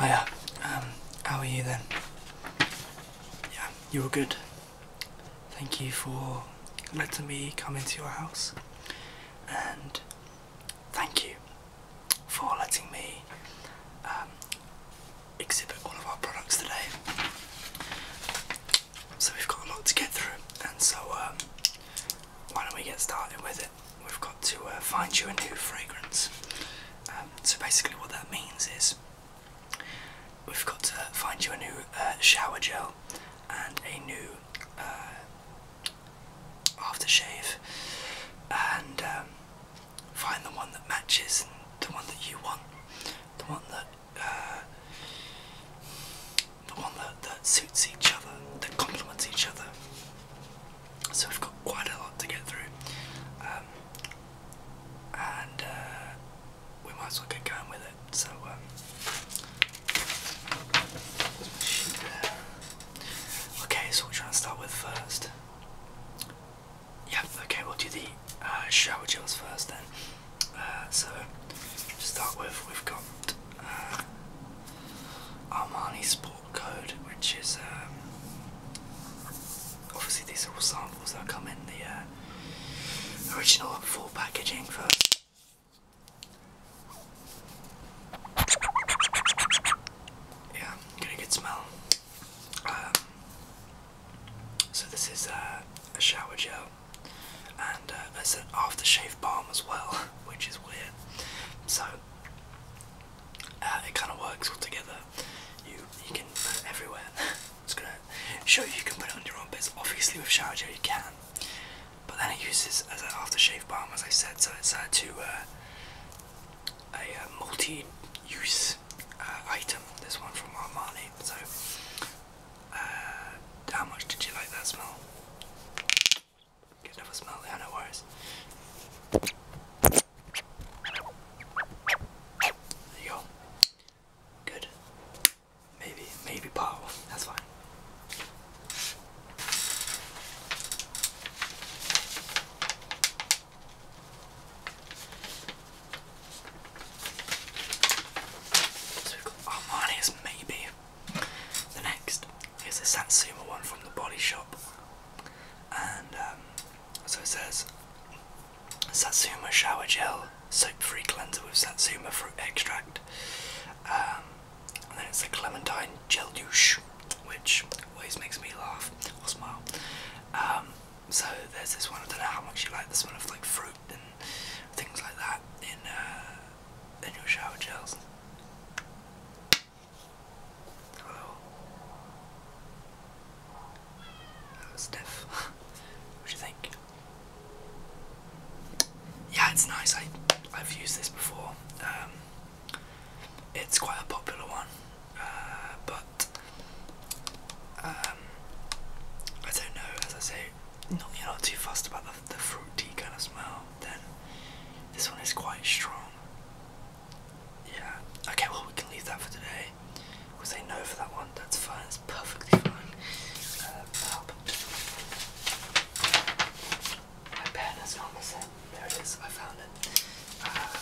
Hiya. Um, how are you then? Yeah, you were good. Thank you for letting me come into your house. And thank you for letting me um, exhibit all of our products today. So we've got a lot to get through. And so um, why don't we get started with it? we've got to uh, find you a new fragrance. Um, so basically, what that means is we've got to find you a new uh, shower gel and a new uh, aftershave, and um, find the one that matches and the one that you want, the one that. Uh, the one that suits each other, that complements each other. So we have got quite a lot to get through. Um, and uh, we might as well get going with it. So, um, okay, so we will try and start with first. Yeah, okay, we'll do the uh, shower gels first then. Uh, so, to start with, we've got uh, Armani Sport code, which is um, obviously these are all samples that come in the uh, original full packaging for. Yeah, get a good smell. Um, so this is uh, a shower gel, and uh, an aftershave balm as well. which is weird. So uh, it kind of works all together. You you can put it everywhere. it's gonna show you can put it on your armpits. Obviously with shower gel you can, but then it uses as an aftershave balm, as I said. So it's uh, to uh, a uh, multi-use item. This one from Armani. So. how much did you like that smell? Could never smell the antivirus. There you go. Good. Maybe, maybe powerful. That's fine. Armani's oh, maybe the next is a Satsuma one from the Body Shop, and um, so it says Satsuma Shower Gel Soap Free Cleanser with Satsuma Fruit Extract, um, and then it's a Clementine Gel Douche, which always makes me laugh or smile. Um, so there's this one. I don't know how much you like this one of like fruit and things like that in uh, and your shower gels. Hello. That was stiff. what do you think? Yeah, it's nice. I, have used this before. Um, it's quite a popular one, uh, but um, I don't know. As I say, no, you're not too fussed about the, the fruit tea kind of smell, then this one is quite strong. Yeah. Okay, well we can leave that for today. We'll say no for that one. That's fine. It's perfectly fine. Uh, My pen has gone missing. There it is. I found it. Uh,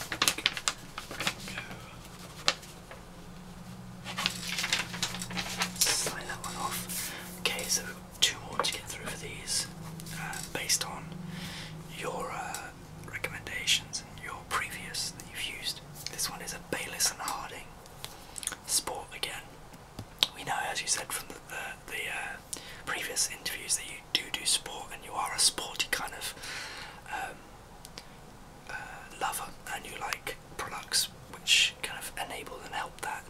Slide that one off. Okay, so two more to get through for these, uh, based on your uh, recommendations and your previous that you've used. This one is a Bayliss and Harding sport again. We know, as you said from the, the, uh, previous interviews, that you do do sport and you are a sporty kind of um, uh, lover and you like products which kind of enable and help that.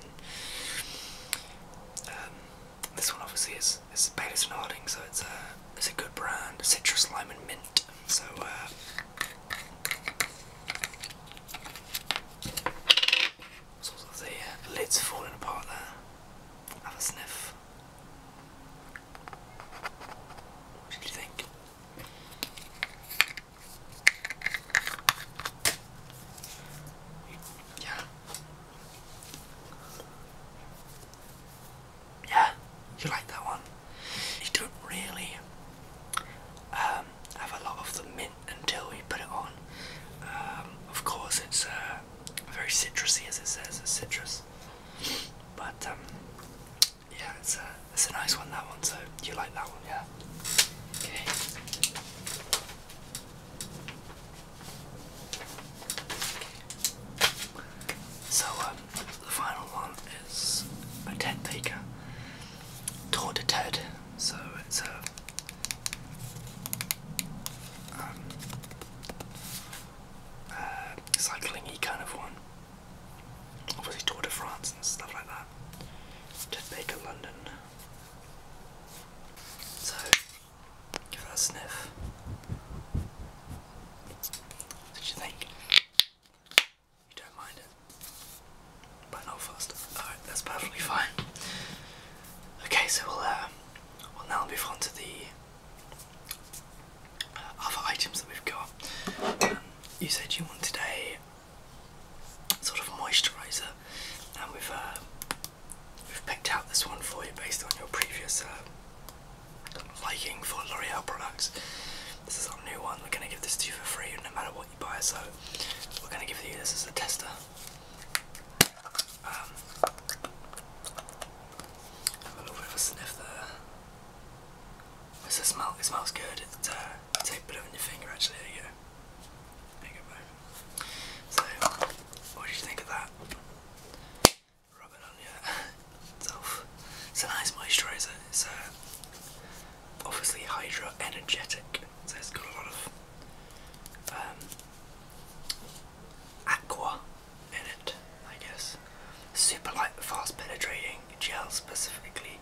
Um, this one obviously is is Bayliss and Harding, so it's a it's a good brand, citrus, lime, and mint. So. Uh, the uh, lids falling apart there. Have a sniff. What did you think? Yeah. Yeah, you like that one. You don't really um, have a lot of the mint until we put it on. Um, of course, it's uh, very citrusy, as it says, it's citrus. But um, yeah, it's a it's a nice one that one. So you like that one, yeah? Okay. So um, the final one is a Ted Baker Tour Ted. So it's a um, uh, kind of one obviously Tour de France and stuff like that. Ted Baker London. So give that a sniff. What did you think? You don't mind it. But not faster. Alright, that's perfectly fine. Okay, so we'll uh, we'll now move on to the other items that we've got. Um, you said you wanted a sort of moisturiser, and we've uh, we've picked out this one for you based on your previous uh, liking for L'Oreal products. This is our new one. We're going to give this to you for free, no matter what you buy. So we're going to give you this as a tester. Um, have a little bit of a sniff there. It's a it smells good. It's, uh, take a bit of it on your finger actually. There you So, what did you think of that? Rub it on your It's a nice moisturiser. It's uh, obviously hydro energetic, so it's got a lot of um, aqua in it, I guess. Super light, fast penetrating gel specifically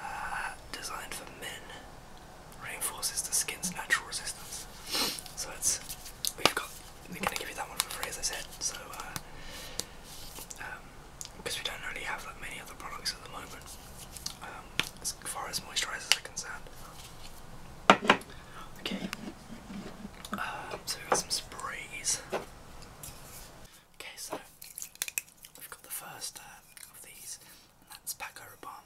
uh, designed for men. Reinforces the skin's natural resistance. So it's we've got we're gonna give you that one for free as I said. So because uh, um, we don't really have that many other products at the moment um, as far as moisturizers are concerned. Okay. Uh, so we've got some sprays. Okay, so we've got the first uh, of these, and that's Paco Rabanne.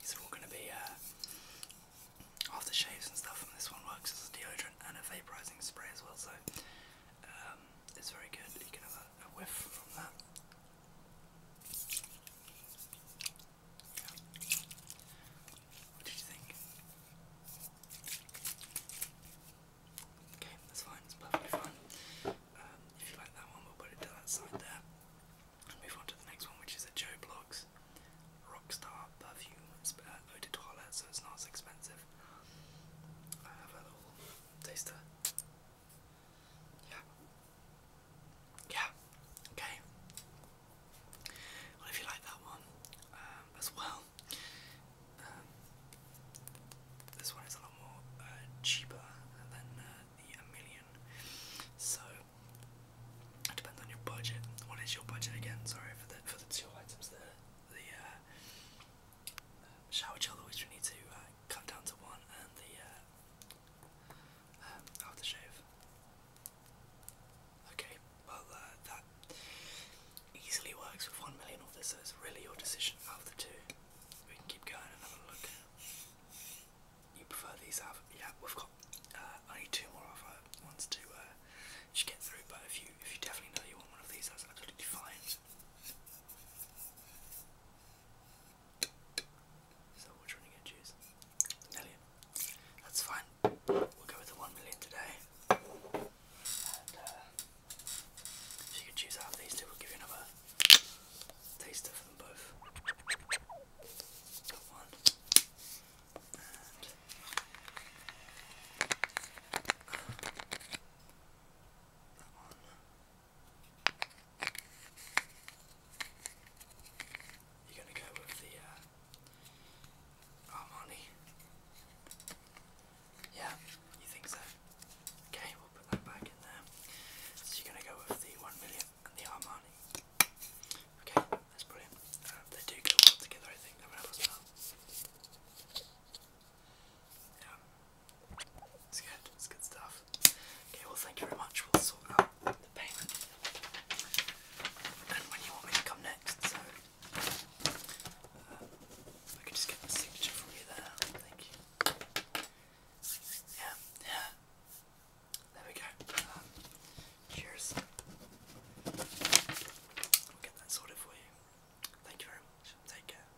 These are all going to be uh, aftershaves and stuff, and this one works as a deodorant and a vaporizing spray as well, so um, it's very good. You can have a whiff from that. What did you think? Okay, that's fine, it's um, if you like that one, we'll put it to that side there. move on to the next one, which is a Joe Bloggs Rockstar Perfume uh, Eau so it's not as expensive. I have a little taster. Yeah, yeah, okay. Well, if you like that one um, as well, um, this one is a lot more uh, cheaper than uh, the a million. So it depends on your budget. What is your budget again? Sorry for the for the two items there. The uh, shower gel, which we need to cut down to one, and the um, shave. Okay, well uh, that easily works with one million of so it's really your decision of the two. We can keep going and look. You prefer these Yeah, we've got uh, only two more of our ones uh, to get through, but if you if you definitely know you want one of these, that's absolutely fine. So which one are you gonna choose? Million. That's fine. We'll go with the one million today. Uh, if you can choose out of these two, we'll give you another taster for both. Got one. And that one. You're gonna go with the uh, Armani. Yeah, you think so? Okay, we'll put that back in there. So you're gonna go with the one million and the Armani. Okay, that's brilliant. Um, they do go well together, I think. I mean, I Yeah. It's good, it's good stuff. Okay, well, thank you very much. We'll sort out the payment and when you want me to come next. Uh, I can just get the signature from you there. Thank you. Yeah, yeah. There we go. Um, cheers. We'll get that sorted for you. Thank you very much. Take care.